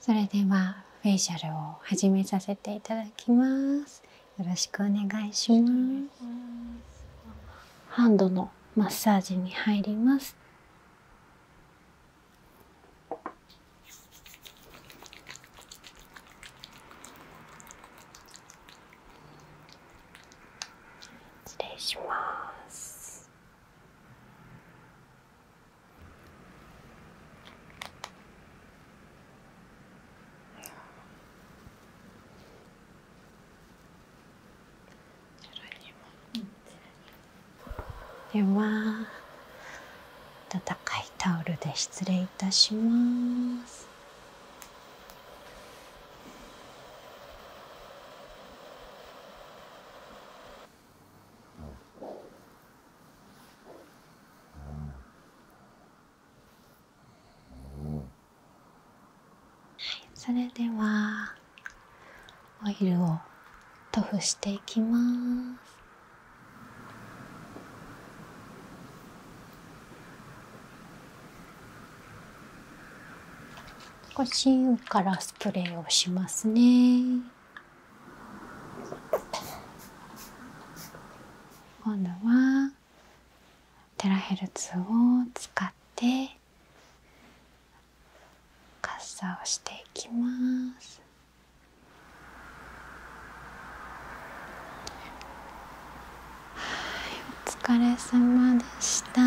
それではフェイシャルを始めさせていただきますよろしくお願いしますハンドのマッサージに入ります失礼しますでは温かいタオルで失礼いたします。はい、それではオイルを塗布していきます少し上からスプレーをしますね。今度はテラヘルツを使ってカッをしていきますお疲れ様でした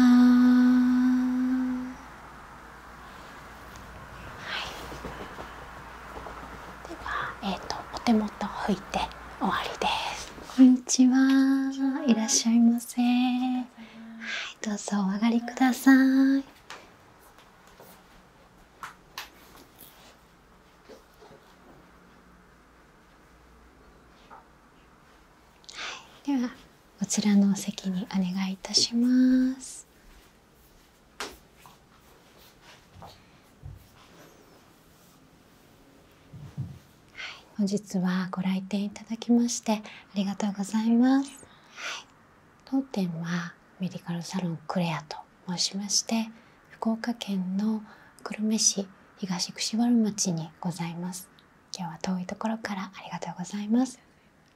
では、えーと、お手元拭いて終わりです。こんにちは、いらっしゃいませ。はい、どうぞお上がりください。はい、ではこちらのお席にお願いいたします。本日はご来店いただきましてありがとうございます、当店はメディカルサロンクレアと申しまして福岡県の久留米市東串原町にございます今日は遠いところからありがとうございます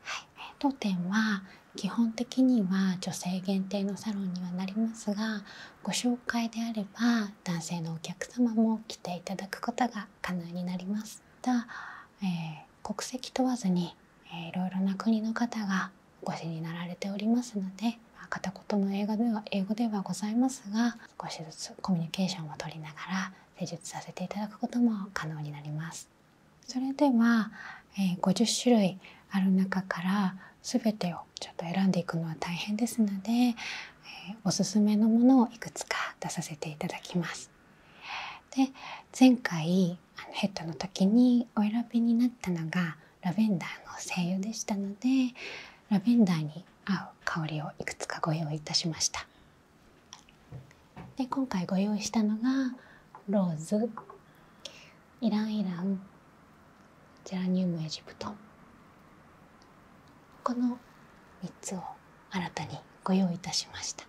はい当店は基本的には女性限定のサロンにはなりますがご紹介であれば男性のお客様も来ていただくことが可能になります。た、え国籍問わずに、えー、いろいろな国の方がお越しになられておりますので片言の英語では英語ではございますが少しずつコミュニケーションをとりながら施術させていただくことも可能になります。それでは、え50種類ある中から全てをちょっと選んでいくのは大変ですので、えおすすめのものをいくつか出させていただきます。で前回あのヘッドの時にお選びになったのがラベンダーの精油でしたのでラベンダーに合う香りをいくつかご用意いたしました。で今回ご用意したのがローズイランイランジェラニウムエジプトこの3つを新たにご用意いたしました、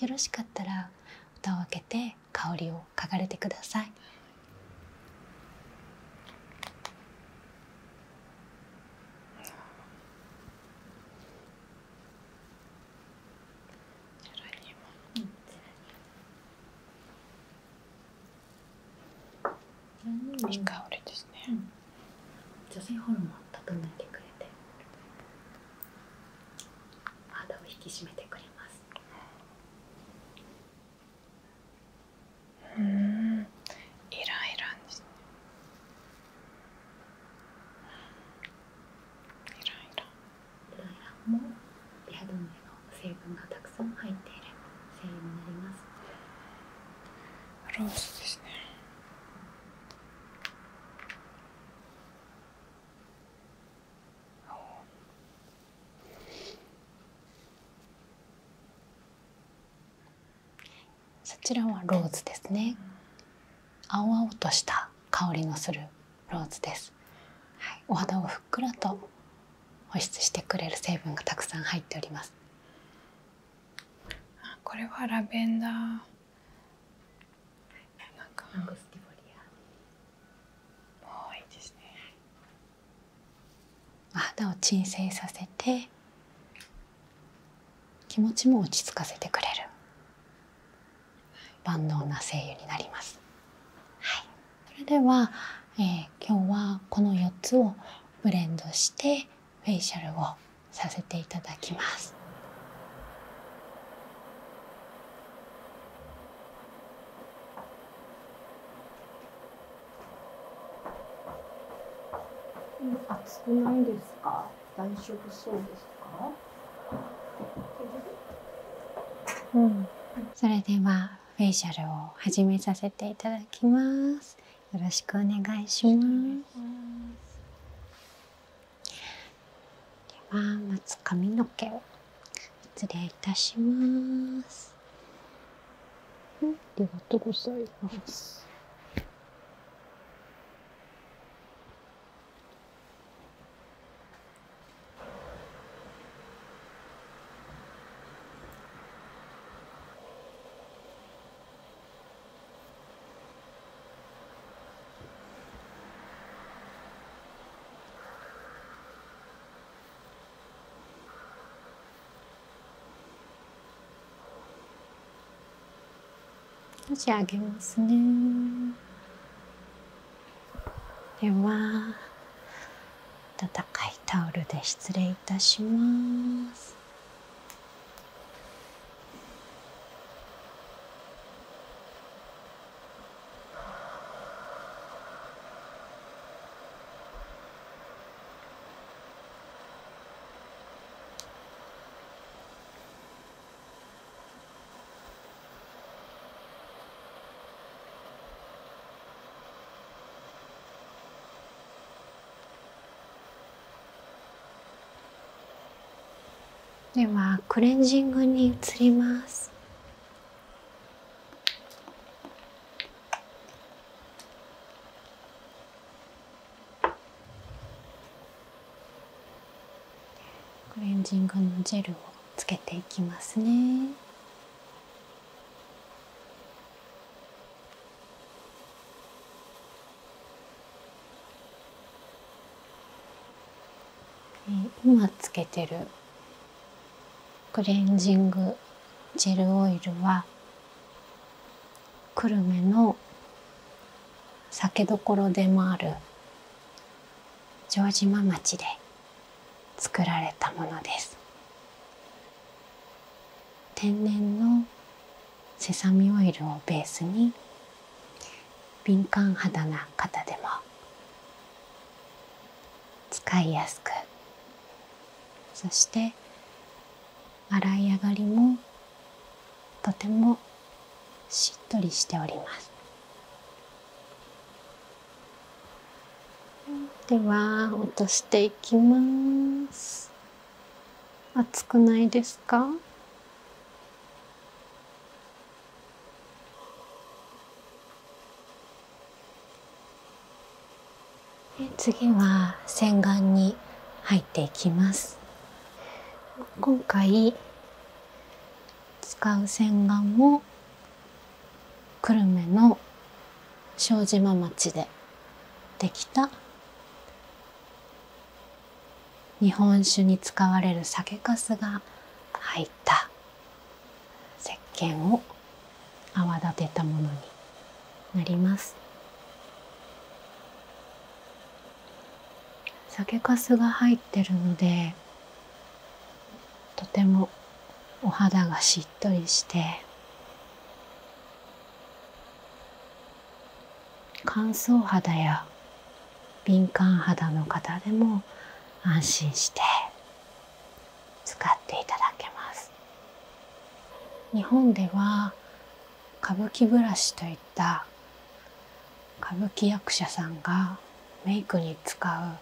よろしかったら歌を開けて香りを嗅がれてくださいうん、いい香りですね、女性ホルモン整えてくれて肌を引き締めてくれますうんイライラですねイライラも成分がたくさん入っているになりますロースですねそちらはローズですね青々とした香りのするローズです、はい、お肌をふっくらと保湿してくれる成分がたくさん入っておりますこれはラベンダーなんかラングスティフリアもいですねお肌を鎮静させて気持ちも落ち着かせてくれる万能な精油になります。はい、それでは、えー、今日はこの4つをブレンドしてフェイシャルをさせていただきます。暑くないですか？大丈夫そうですか？うん、それではフェイシャルを始めさせていただきますよろしくお願いしますでは待つ髪の毛を失礼いたしますありがとうございます少し上げますね。では温かいタオルで失礼いたします。ではクレンジングに移りますクレンジングのジェルをつけていきますね。今つけてるクレンジングジェルオイルは久留米の酒どころでもある城島町で作られたものです天然のセサミオイルをベースに敏感肌な方でも使いやすくそして洗い上がりもとてもしっとりしておりますでは落としていきます熱くないですか次は洗顔に入っていきます今回使う洗顔も久留米の庄島町でできた日本酒に使われる酒粕が入った石鹸を泡立てたものになります酒粕が入ってるのでとてもお肌がしっとりして乾燥肌や敏感肌の方でも安心して使っていただけます日本では歌舞伎ブラシといった歌舞伎役者さんがメイクに使う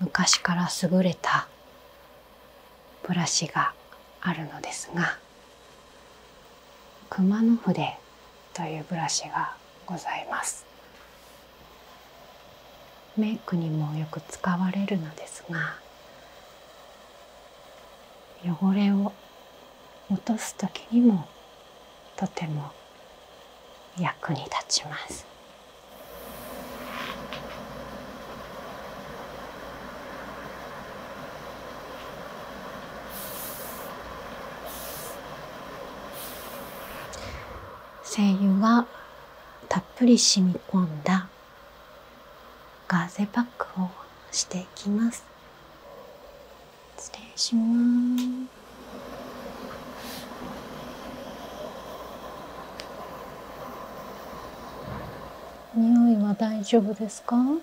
昔から優れたブラシがあるのですが熊野筆というブラシがございますメイクにもよく使われるのですが汚れを落とす時にもとても役に立ちます。精油がたっぷり染み込んだガーゼパックをしていきます失礼します匂いは大丈夫ですか、うん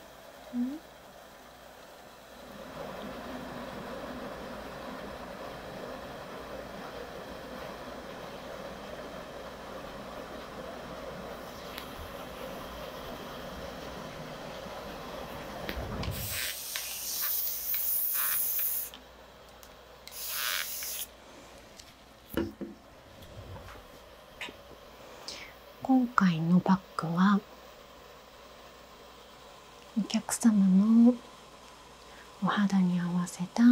今回のバッグはお客様のお肌に合わせた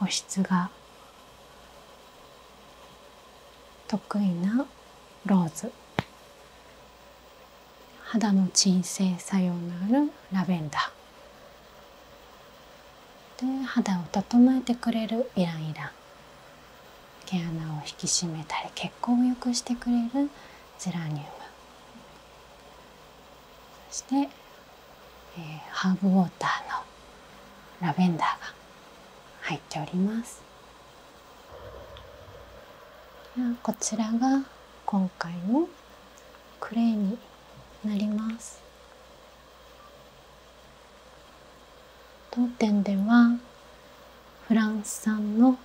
保湿が得意なローズ肌の鎮静作用のあるラベンダーで肌を整えてくれるイランイラン毛穴を引き締めたり血行を良くしてくれるゼラニウムそして、えハーブウォーターのラベンダーが入っております。こちらが今回のクレーになります当店ではフランス産の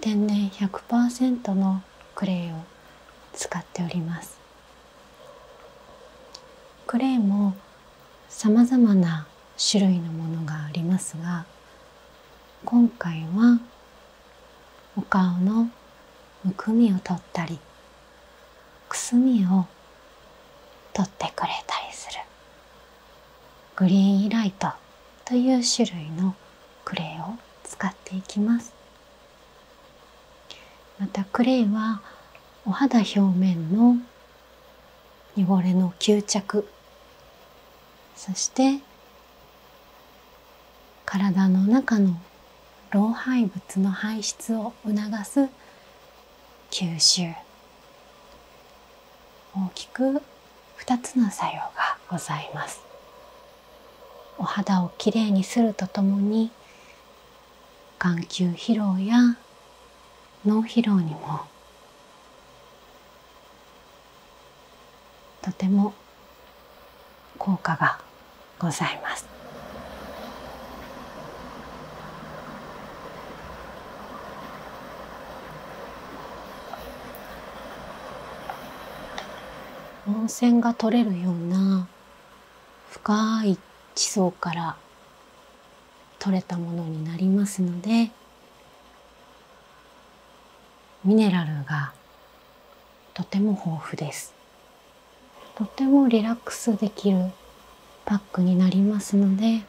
天然100%のクレーを使っておりますクレーもさまざまな種類のものがありますが今回はお顔のむくみを取ったりくすみを取ってくれたりするグリーンライトという種類のクレイを使っていきますまたクレイはお肌表面の汚れの吸着そして体の中の老廃物の排出を促す吸収大きく2つの作用がございますお肌をきれいにするとともに眼球疲労や脳疲労にもとても効果がございます。温泉が取れるような深い地層から取れたものになりますのでミネラルがとても豊富ですとてもリラックスできるパックになりますので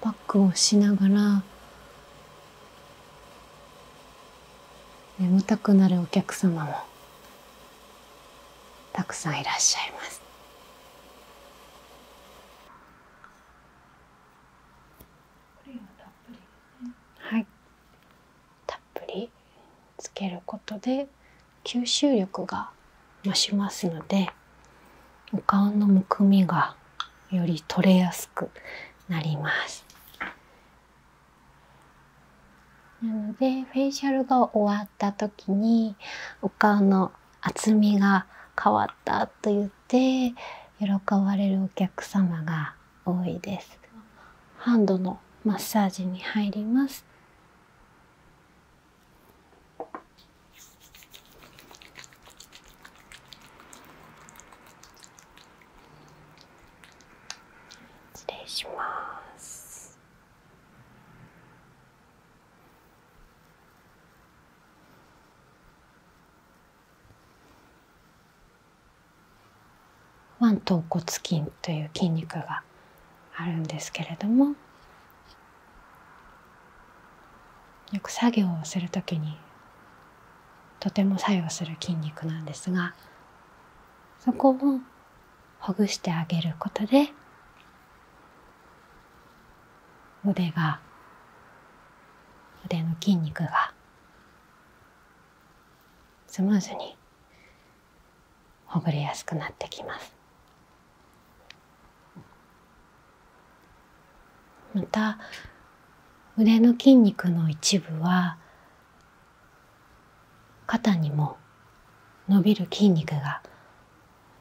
パックをしながら眠たくなるお客様もたくさんいらっしゃいますたっぷりつけることで吸収力が増しますのでお顔のむくみがより取れやすくなりますなのでフェイシャルが終わった時にお顔の厚みが変わったと言って喜ばれるお客様が多いですハンドのマッサージに入ります失礼します腕頭骨筋という筋肉があるんですけれどもよく作業をする時にとても作用する筋肉なんですがそこをほぐしてあげることで腕が腕の筋肉がスムーズにほぐれやすくなってきますまた腕の筋肉の一部は肩にも伸びる筋肉が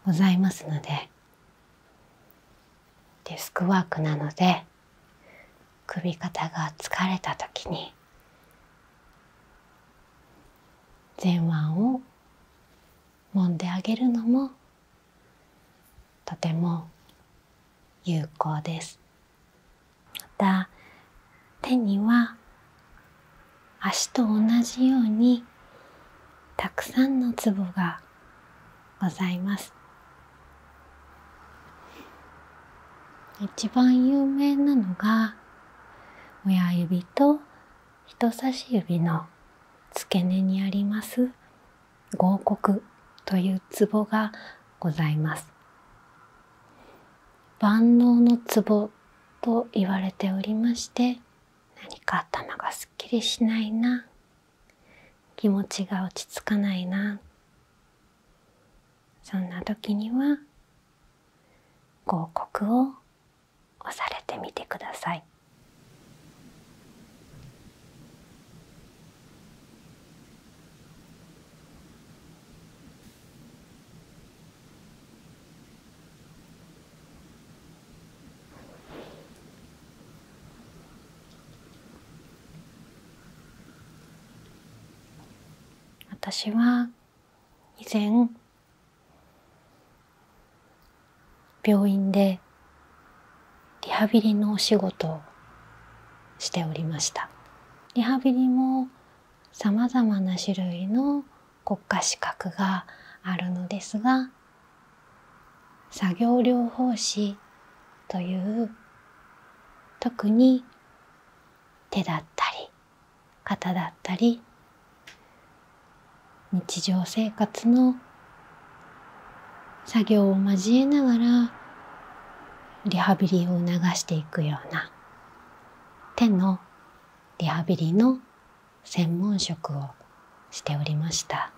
ございますのでデスクワークなので首肩が疲れた時に前腕をもんであげるのもとても有効ですまた手には足と同じようにたくさんのツボがございます一番有名なのが親指と人差し指の付け根にあります合谷というツボがございます万能のツボと言われておりまして何か頭がすっきりしないな気持ちが落ち着かないなそんな時には広告を押されてみてください。私は以前病院でリハビリのお仕事をしておりましたリハビリもさまざまな種類の国家資格があるのですが作業療法士という特に手だったり肩だったり日常生活の作業を交えながらリハビリを促していくような手のリハビリの専門職をしておりました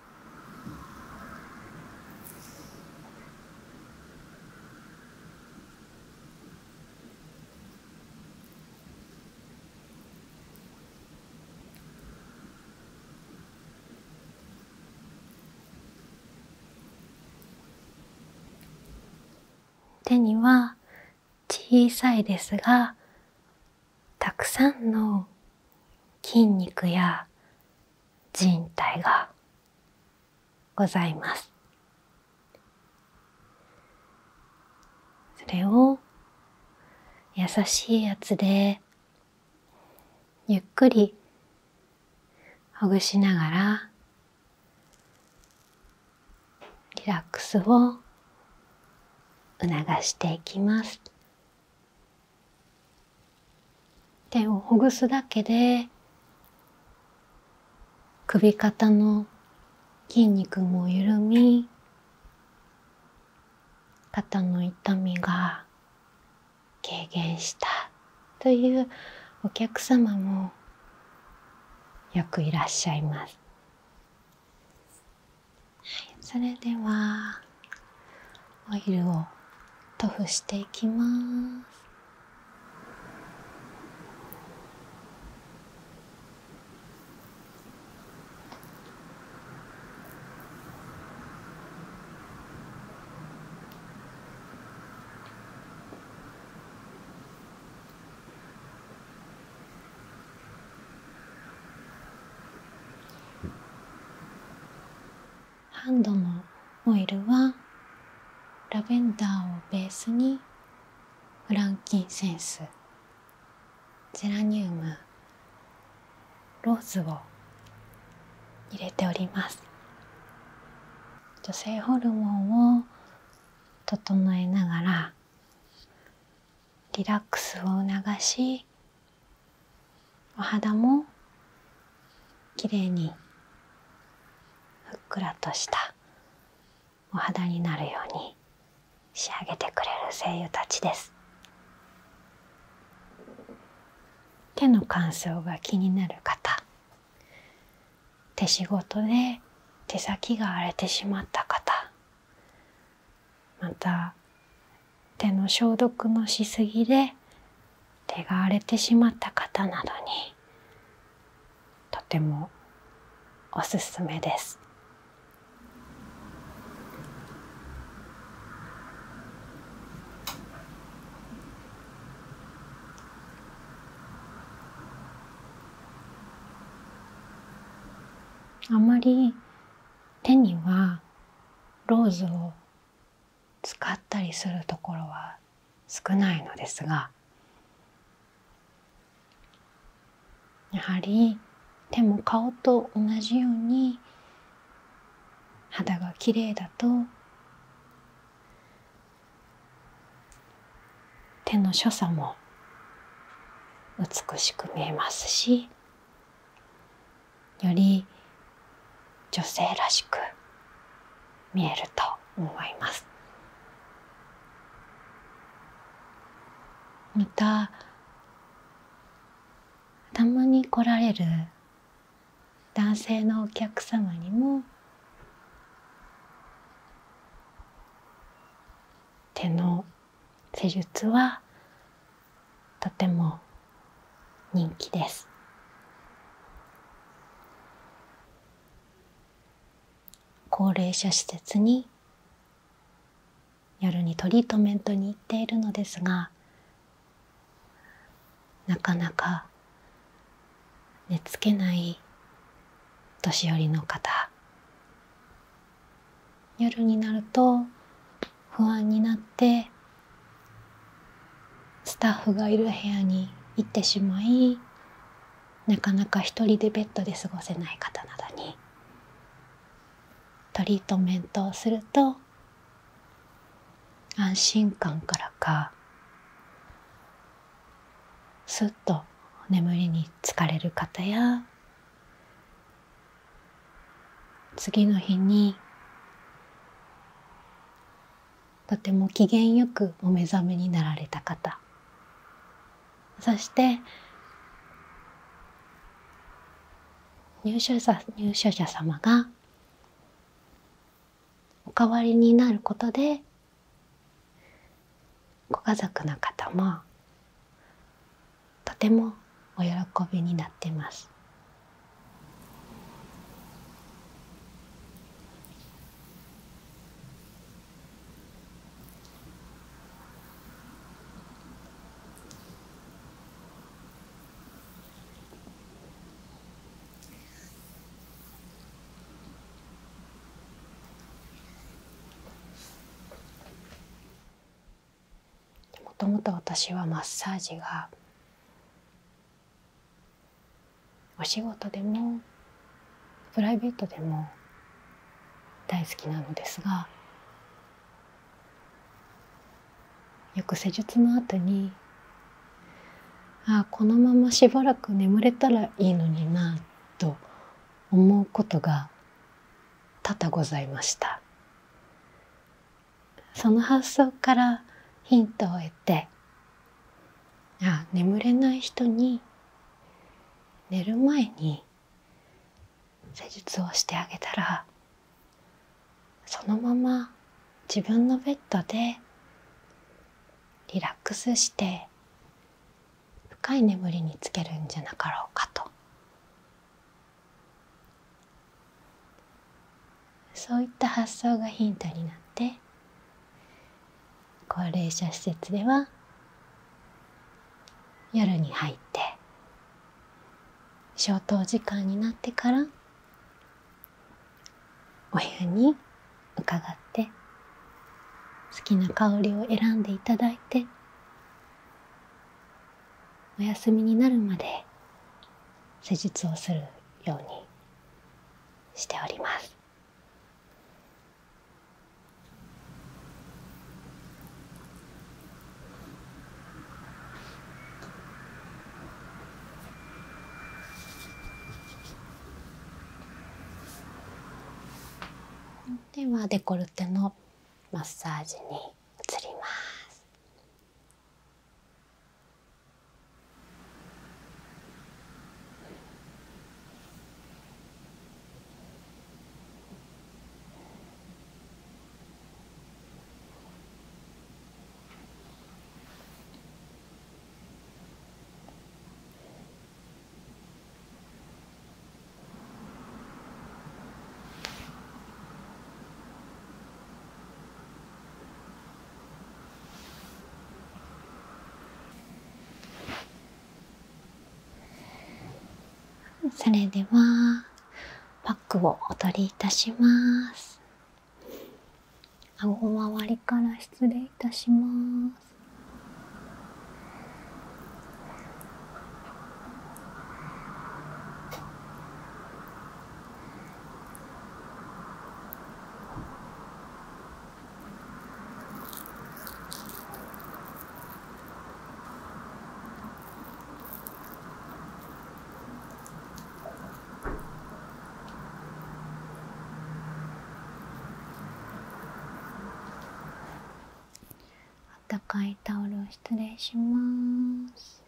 手には小さいですがたくさんの筋肉や人体がございます。それを優しいやつでゆっくりほぐしながらリラックスを促していきます手をほぐすだけで首肩の筋肉も緩み肩の痛みが軽減したというお客様もよくいらっしゃいます。それではオイルを塗布していきますハンドのオイルはラベンダーをベースにフランキンセンスゼラニウムローズを入れております女性ホルモンを整えながらリラックスを促しお肌もきれいにふっくらとしたお肌になるように仕上げてくれる声優たちです手の乾燥が気になる方手仕事で手先が荒れてしまった方また手の消毒もしすぎで手が荒れてしまった方などにとてもおすすめです。あまり手にはローズを使ったりするところは少ないのですがやはり手も顔と同じように肌が綺麗だと手の所作も美しく見えますしより女性らしく見えると思いますまたたまに来られる男性のお客様にも手の施術はとても人気です高齢者施設に夜にトリートメントに行っているのですがなかなか寝つけない年寄りの方夜になると不安になってスタッフがいる部屋に行ってしまいなかなか一人でベッドで過ごせない方などにトリートメントをすると安心感からかすっと眠りにつかれる方や次の日にとても機嫌よくお目覚めになられた方そして入所者入所者様がお代わりになることでご家族の方もとてもお喜びになってます。もともと私はマッサージがお仕事でもプライベートでも大好きなのですがよく施術の後にああこのまましばらく眠れたらいいのになと思うことが多々ございましたその発想からヒントを得てあ眠れない人に寝る前に施術をしてあげたらそのまま自分のベッドでリラックスして深い眠りにつけるんじゃなかろうかとそういった発想がヒントになって高齢者施設では夜に入って消灯時間になってからお部屋に伺って好きな香りを選んでいただいてお休みになるまで施術をするようにしておりますではデコルテのマッサージに移りますそれではパックをお取りいたします顎周りから失礼いたしますあったかいタオルを失礼します。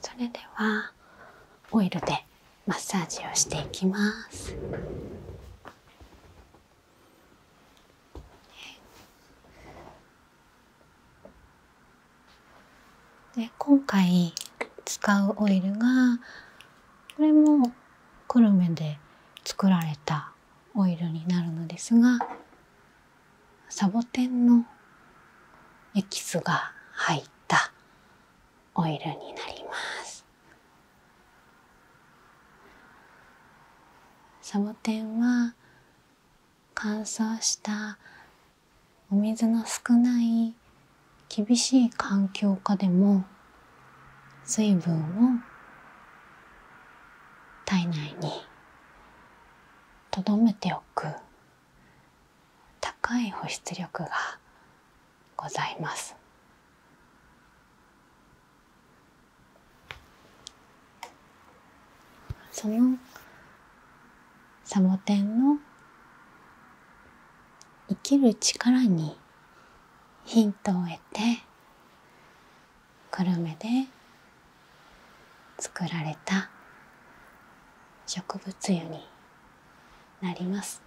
それではオイルでマッサージをしていきますで今回使うオイルがこれも久留米で作られたオイルになるのですがサボテンのエキスが入ったオイルになりますサボテンは乾燥したお水の少ない厳しい環境下でも水分を体内にとどめておく高い保湿力がございますそのサボテンの生きる力にヒントを得て久留米で作られた植物油になります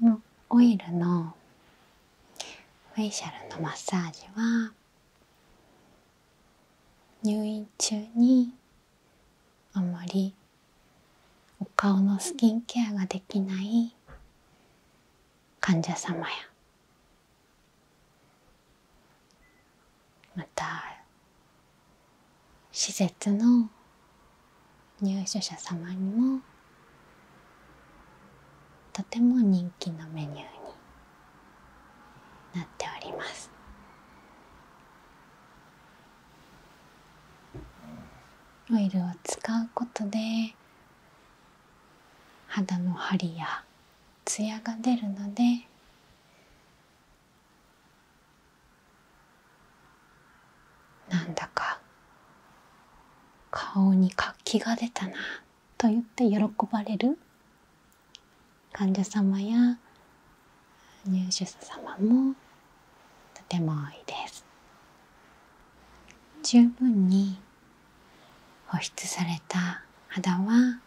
のオイルのフェイシャルのマッサージは入院中にあんまりお顔のスキンケアができない患者様やまた施設の入所者様にもとても人気のメニューになっておりますオイルを使うことで肌の張りやツヤが出るのでなんだか顔に活気が出たなと言って喜ばれる患者様や入手者様もとても多いです。十分に保湿された肌は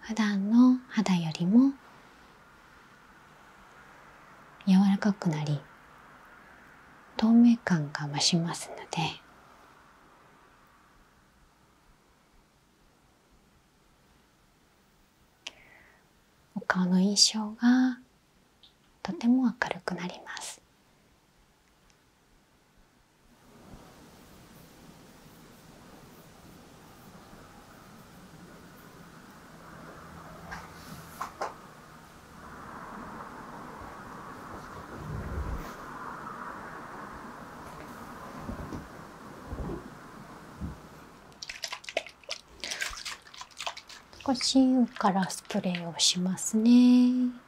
普段の肌よりも柔らかくなり透明感が増しますのでお顔の印象がとても明るくなります少し上からスプレーをしますね。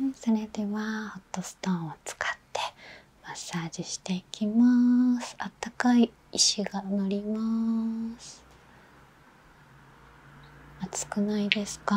はい、それではホットストーンを使ってマッサージしていきますあったかい石が乗ります暑くないですか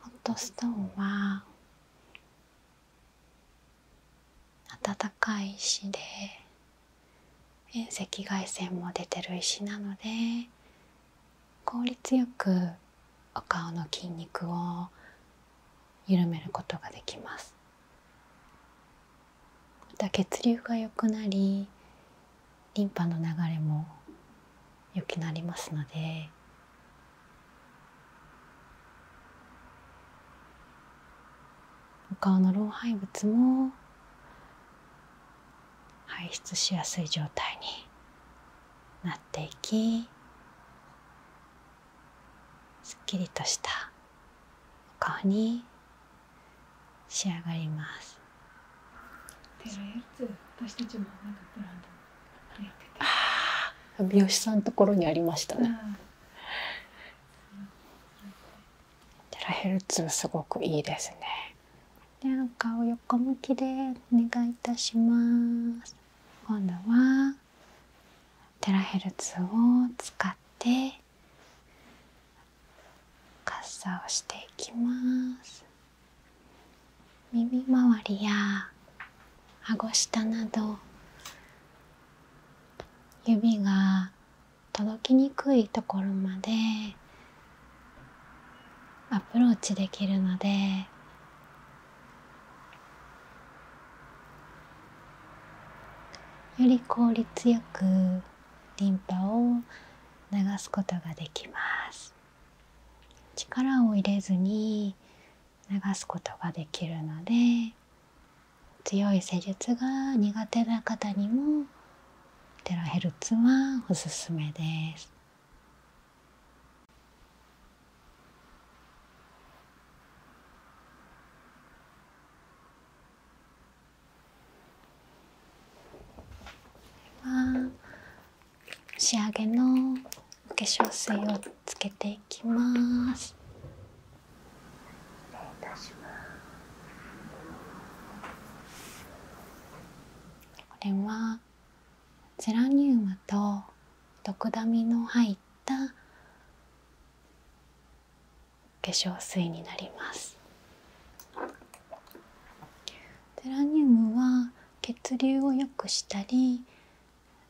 ホットストーンは暖かい石で。遠赤外線も出てる石なので効率よくお顔の筋肉を緩めることができますた血流が良くなりリンパの流れも良くなりますのでお顔の老廃物も排出しやすい状態になっていきすっきりとした顔に仕上がります私あ美容師さんのところにありましたねすごくいいですねでお顔横向きでお願いいたします今度はテラヘルツを使ってカッしていきます耳周りや顎下など指が届きにくいところまでアプローチできるのでより効率よくリンパを流すことができます力を入れずに流すことができるので強い施術が苦手な方にもテラヘルツはおすすめですは仕上げのお化粧水をつけていきます。これはゼラニウムとドクダミの入った化粧水になりますゼラニウムは血流を良くしたり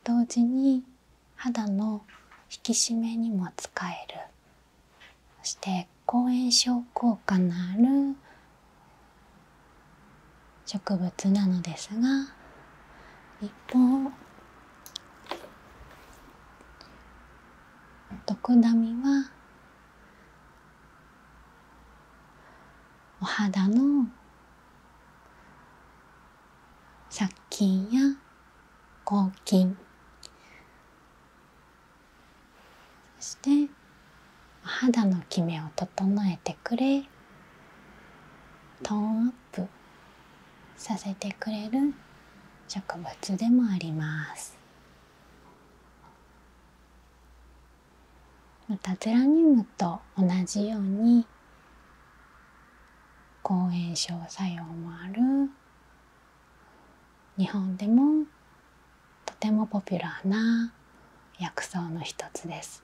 同時に肌の引き締めにも使えるそして抗炎症効果のある植物なのですが一方ドダミはお肌の殺菌や抗菌そしてお肌のきめを整えてくれトーンアップさせてくれる植物でもありますまたゼラニウムと同じように抗炎症作用もある日本でもとてもポピュラーな薬草の一つです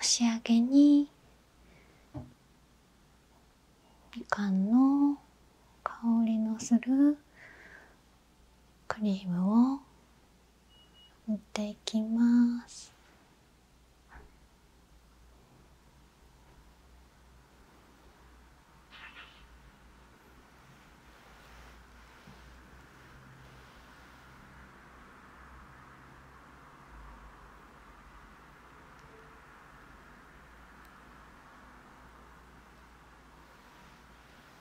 仕上げにみかんの香りのするクリームを塗っていきます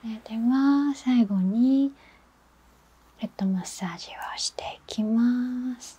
それでは最後にヘッドマッサージをしていきます。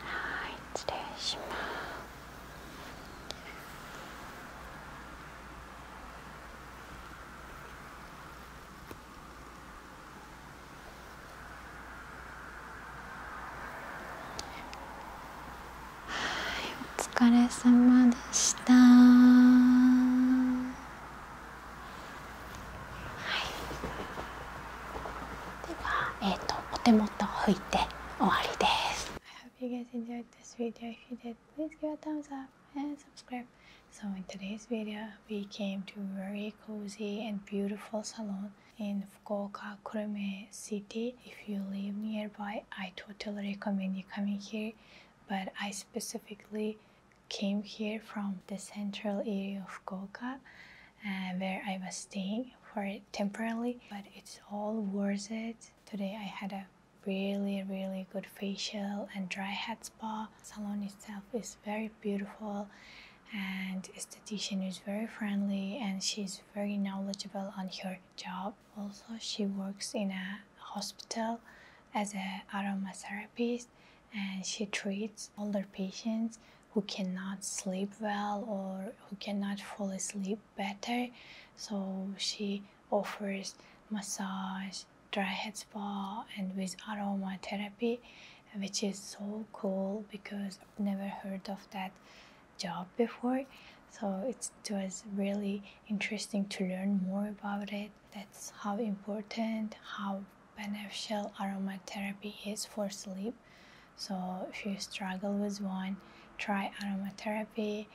はい失礼しますはいお疲れ様でした。So in today's video, we came to a very cozy and beautiful salon in Fukuoka, Kurume City. If you live nearby, I totally recommend you coming here. But I specifically came here from the central area of Gokha, uh, where I was staying for temporarily but it's all worth it. Today I had a really really good facial and dry head spa. Salon itself is very beautiful and esthetician is very friendly and she is very knowledgeable on her job. Also she works in a hospital as a aromatherapist and she treats older patients who cannot sleep well or who cannot fall asleep better. So she offers massage, dry head spa, and with aromatherapy, which is so cool because I've never heard of that job before. So it was really interesting to learn more about it. That's how important, how beneficial aromatherapy is for sleep. So if you struggle with one, try aromatherapy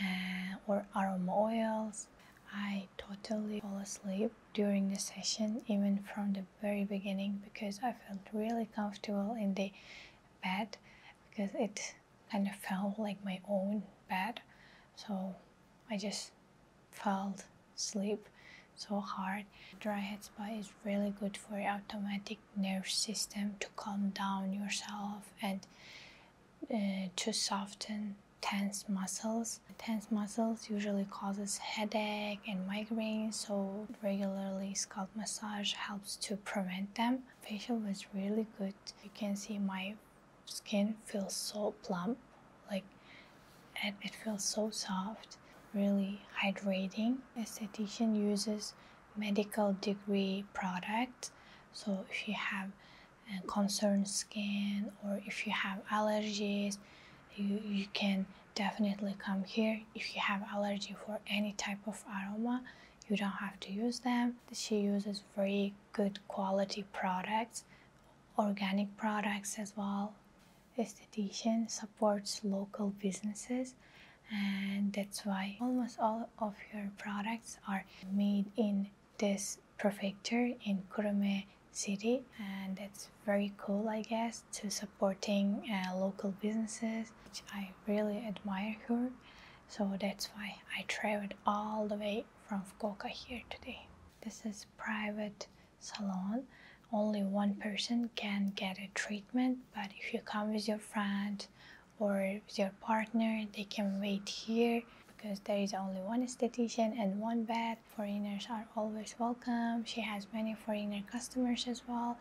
uh, or aroma oils. I totally fall asleep during the session, even from the very beginning, because I felt really comfortable in the bed because it kind of felt like my own bed. So I just felt sleep so hard. Dry head spa is really good for your automatic nervous system to calm down yourself and uh, to soften tense muscles. Tense muscles usually causes headache and migraine, so regularly scalp massage helps to prevent them. Facial was really good. You can see my skin feels so plump like it, it feels so soft really hydrating esthetician uses medical degree products so if you have uh, concerned skin or if you have allergies you, you can definitely come here if you have allergy for any type of aroma you don't have to use them she uses very good quality products organic products as well esthetician supports local businesses and that's why almost all of your products are made in this prefecture in Kurume city and that's very cool I guess to supporting uh, local businesses which I really admire her so that's why I traveled all the way from Fukuoka here today this is private salon only one person can get a treatment but if you come with your friend or with your partner they can wait here because there is only one esthetician and one bed foreigners are always welcome she has many foreigner customers as well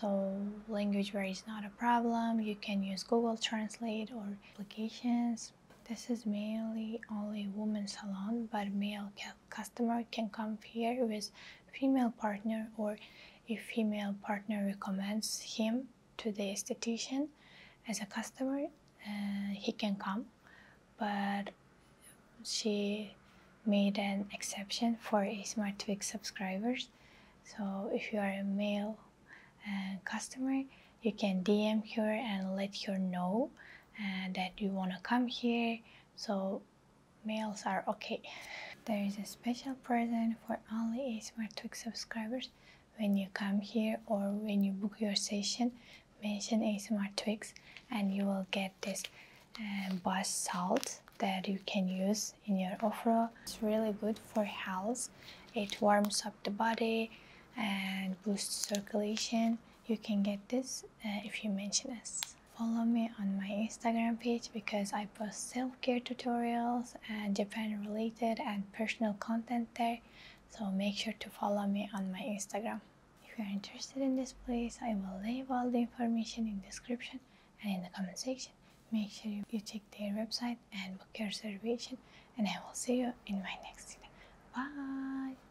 so language barrier is not a problem you can use google translate or applications this is mainly only women's salon but male customer can come here with female partner or if female partner recommends him to the esthetician as a customer uh, he can come but she made an exception for smart twig subscribers so if you are a male uh, customer you can dm her and let her know and uh, that you want to come here so mails are okay there is a special present for only ASMR Twig subscribers when you come here or when you book your session mention ASMR Twigs and you will get this uh, salt that you can use in your offer it's really good for health it warms up the body and boosts circulation you can get this uh, if you mention us. Follow me on my Instagram page because I post self-care tutorials and Japan related and personal content there. So make sure to follow me on my Instagram. If you're interested in this place, I will leave all the information in description and in the comment section. Make sure you check their website and book your reservation and I will see you in my next video. Bye!